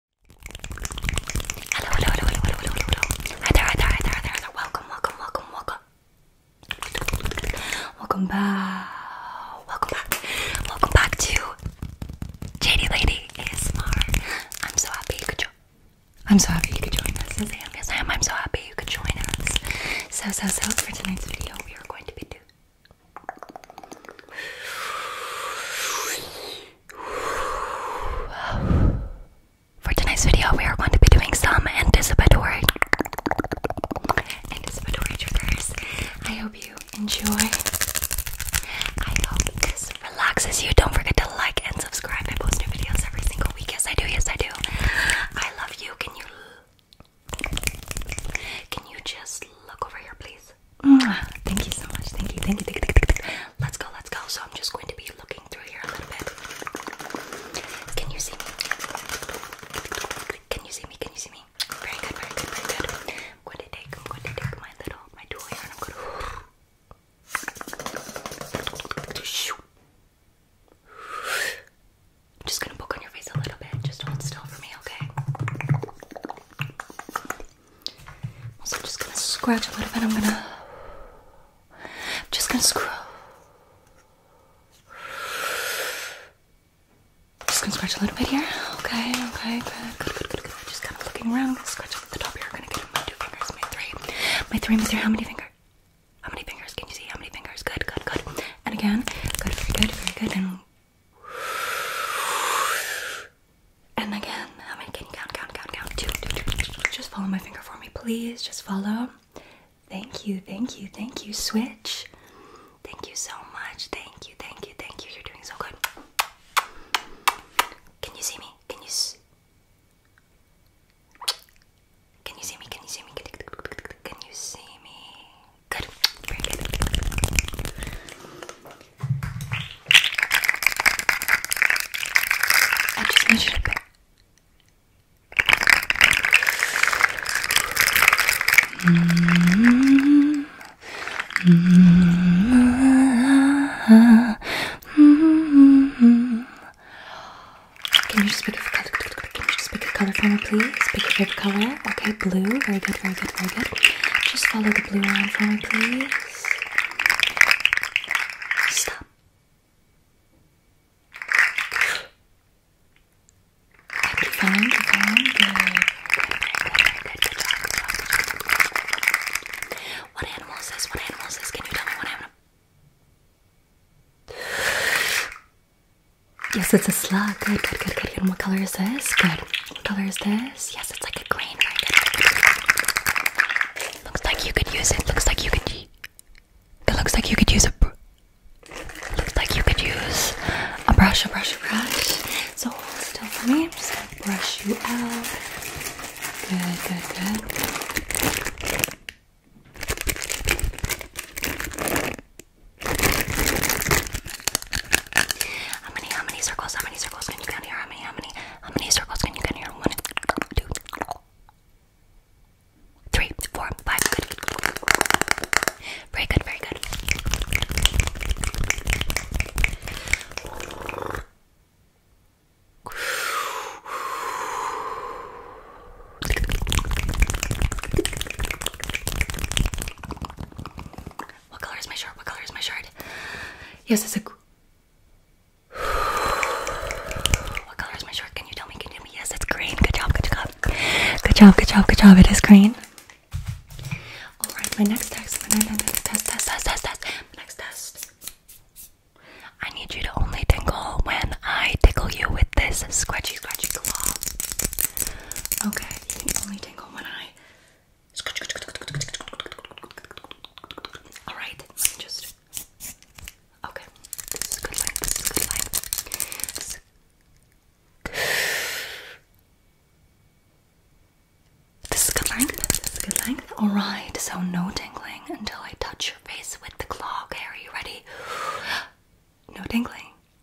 Hello, hello, hello, hello, hello, hello, hello. Hi there, hi there, hi there, hi there, Welcome, welcome, welcome, welcome. Welcome back. Welcome back. Welcome back to JD Lady ASMR. I'm so happy you could join. I'm so happy you could join us. Yes, I am. I'm so happy you could join us. So, so, so for tonight's video, we are going to be doing. For tonight's video, we are going to be doing some anticipatory, anticipatory triggers. I hope you enjoy. I hope this relaxes you. Don't forget to like and subscribe. I post new videos every single week. Yes, I do. Yes, I do. I love you. Can you can you just look over here, please? Thank you so much. Thank you. Thank you. Thank you. Thank you. Let's go. Let's go. So I'm just going to be looking through here a little bit. Can you see me? Can you see me? Can you see me? Very good. Very good. Very good. I'm going to take. I'm going to take my little my tool here, and I'm going to. I'm just gonna poke on your face a little bit. Just hold still for me, okay? Also, I'm just gonna scratch a little bit. I'm gonna. I'm just gonna scratch. Just gonna scratch a little bit here. Okay, okay, good, good, good, good, good. Just kind of looking around. I'm gonna scratch up the top here. I'm gonna get my two fingers, my three, my three, my three. How many fingers? How many fingers? Can you see? How many fingers? Good, good, good. And again, good, very good, very good. And and again, how many can you count? Count, count, count. Two, two, two. Just follow my finger for me, please. Just follow. Thank you, thank you, thank you. Switch. Thank you so much. Thank you, thank you, thank you. You're doing so good. Can you see me? Can you see? Can you see me? Can you see me? Can you see me? Good. Very good. I just need you to pick. Can you just pick a color? just pick a color for me, please? Pick a favorite color. Okay, blue. Very good, very good, very good. Just follow the the blue one for me, please? Stop. Keep following, keep following. Good. Good, good, good, good, good job. What animal is this? What animal is this? Can you tell me what animal? Yes, it's a slug. Good, good, good, good, good. And what color is this? Good. What color is this? it's like a grain Looks like you could use it. Looks like you could. It looks like you could use a. Looks like you could use a brush, a brush, a brush. So hold still for me. I'm just gonna brush you out. Good, good, good. How many, how many circles, how many circles can you count here? How many, how many, how many circles can you count here? One, two, three, four, five. Very good, very good. What color is my shirt? What color is my shirt? Yes, it's a. What color is my shirt? Can you tell me? Can you tell me? Yes, it's green. Good job. Good job. Good job. Good job. Good job. It is green. All right. My next test. My next test. Test. Test. Test. test. My next test. I need you to only tingle when I tickle you with this scratchy, scratchy claw. Okay. You can only tingle when I all right, just. Okay, this is good length. This is good length. Alright, so no tingling until I touch your face with the claw. Okay, are you ready? No tingling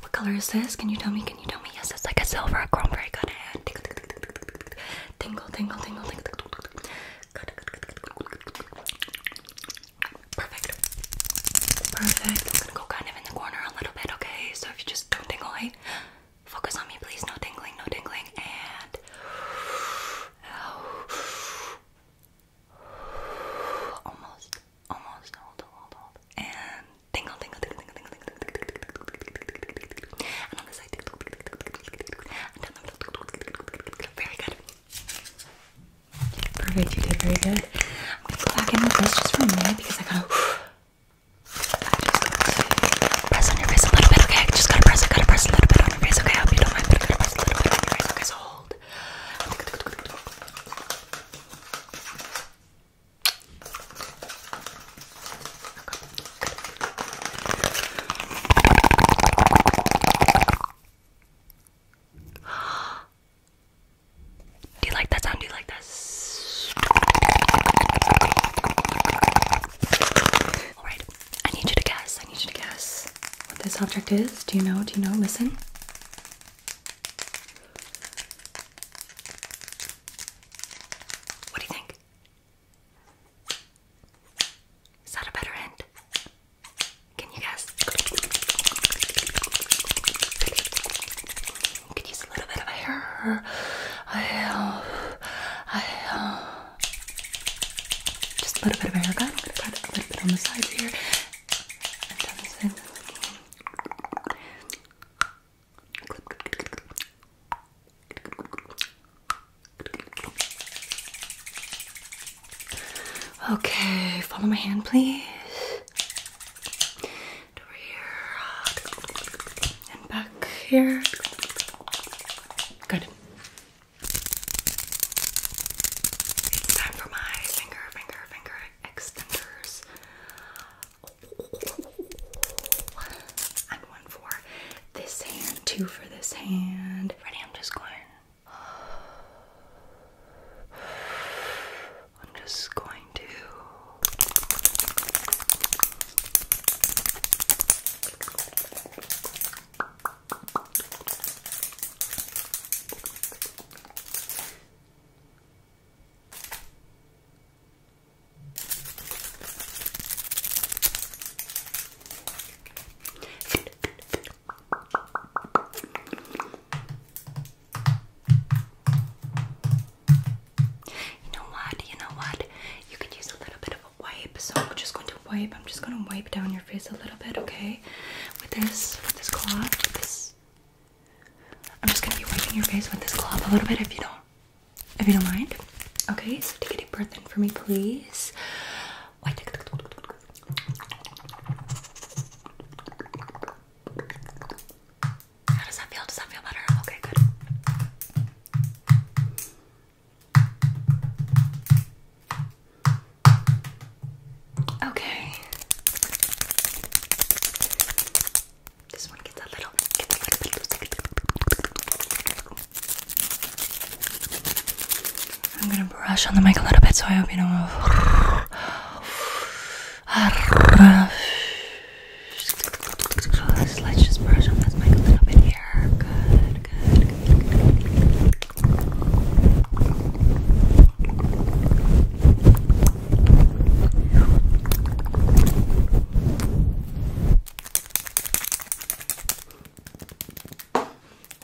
What color is this? Can you tell me? Can you tell me? Yes, it's like a silver chrome very good and tingle tingle tingle tingle tingle tingle Perfect. Perfect. I'm gonna go kind of in the corner a little bit, okay? So if you just don't tingle, hey, focus on me, please. No tingling, no tingling, and Almost, almost, hold on, hold on. And tingle, tingle, tingle, tingle, tingle, tingle, tingle, tingle, tingle, tingle, tingle, And on the side, tingle, tingle, tingle, tingle, tingle, tingle, and down the middle, tingle, tingle, tingle, tingle, tingle. Very good. Perfect, you did very good. I'm gonna go back in with this just for a minute because I gotta. I just gotta press on your face a little bit, okay? I just gotta press, I gotta press a little bit on your face, okay? I hope you don't mind, but I gotta press a little bit on your face, okay? So hold. Do you like that sound? Do you like that? Alright, I need you to guess. I need you to guess what this object is. Do you know? Do you know? Listen. What do you think? Is that a better end? Can you guess? could use a little bit of hair. I, I, just a little bit of haircut. I'm gonna put a little bit on the sides here, Okay, follow my hand, please. Over here and back here. Good. It's time for my finger, finger, finger extenders. And one for this hand, two for this hand. Ready? I'm just going. I'm just going to. You know what? You know what? You could use a little bit of a wipe, so I'm just going to wipe. I'm just going to wipe down your face a little bit, okay? With this, with this cloth, with this. I'm just gonna be wiping your face with this cloth a little bit if you don't, if you don't mind. Okay, so take a deep breath in for me, please. How does that feel? Does that feel better? Okay, good. Okay. This one gets a little, I'm gonna brush on the mic a little bit so I hope you don't move. Let's just brush on this mic a little bit here. Good good, good.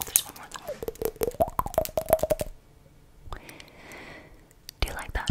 There's one more. Do you like that?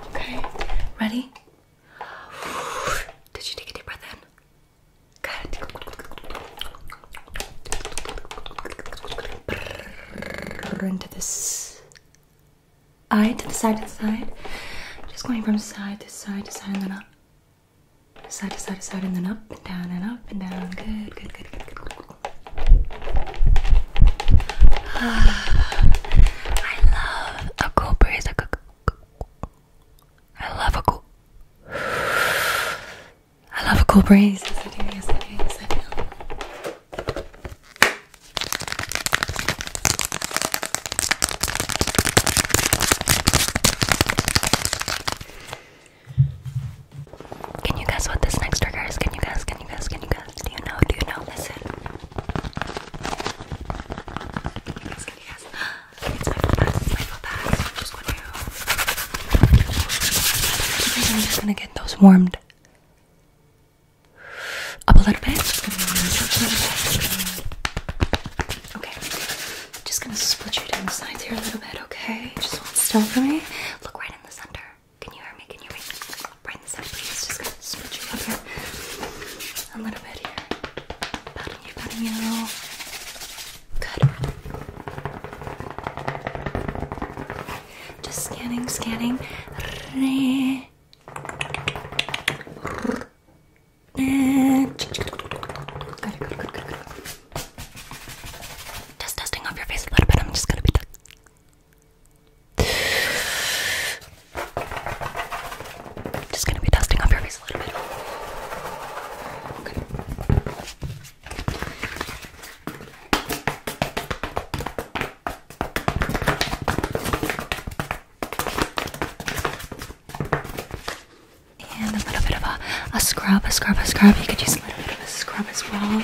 Okay, ready? Did you take a deep breath in? Good. Into this eye, to the side, to the side. Just going from side to side to side and then up. Side to side to side and then up and down and up and down. Good, good, good, good, good. Ah. I love a cool breeze. A cool, cool, cool. I love a cool. I love a cool breeze. Yes, I do. Yes, I do. Yes, I do. Can you guess what this next trigger is? Can you guess? Can you guess? Can you guess? Do you know? Do you know? Listen. Can you It's my full pass. It's my full pass. I'm just going to. just going to get those warmed up a little bit. Okay. Just going to split you down the sides here a little bit, okay? Just hold still for me. Look right in the center. Can you hear me? Can you hear me? Right this side, please. Just gonna switch you up here. A little bit here. Patting you, patting you. Good. Just scanning, scanning. Good, good, good, good, good. Just dusting off your face a little bit. I'm just gonna be I'm just gonna be dusting off your face a little bit. Okay. And a little bit of a, a scrub, a scrub, a scrub. You could use a little bit of a scrub as well.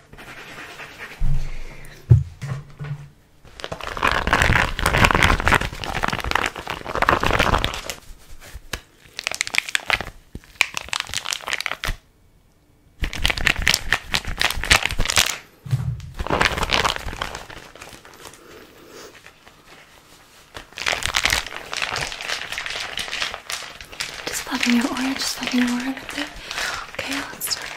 Just loving your aura, just loving your aura right there. Okay, let's start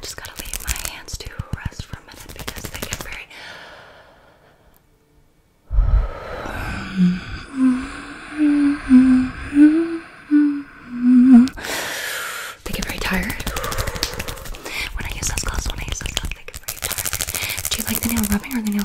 Just gotta leave my hands to rest for a minute because they get very. They get very tired. When I use those gloves, when I use those gloves, they get very tired. Do you like the nail rubbing or the nail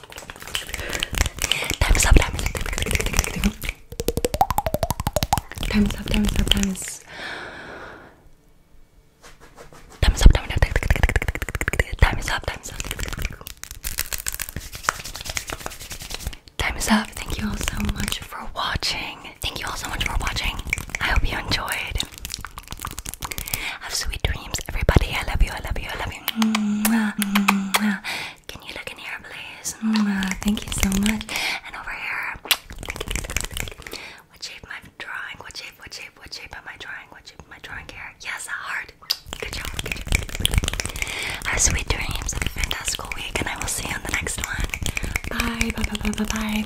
Time's up, time is Time's up, time is up, time is Time is up, time is up, time is up, time is up. Time is up. Thank you all so much for watching. Thank you all so much for watching. I hope you enjoyed. Have sweet dreams, everybody. I love you, I love you, I love you. Can you look in here, please? Thank you so much. And over here, what shape am I drawing? What shape? What shape? What shape am I drawing? What shape am I drawing here? Yes, a heart. Good job. Have sweet dreams. Have a fantastical week, and I will see you on the next one. Bye. Bye. Bye. Bye. Bye.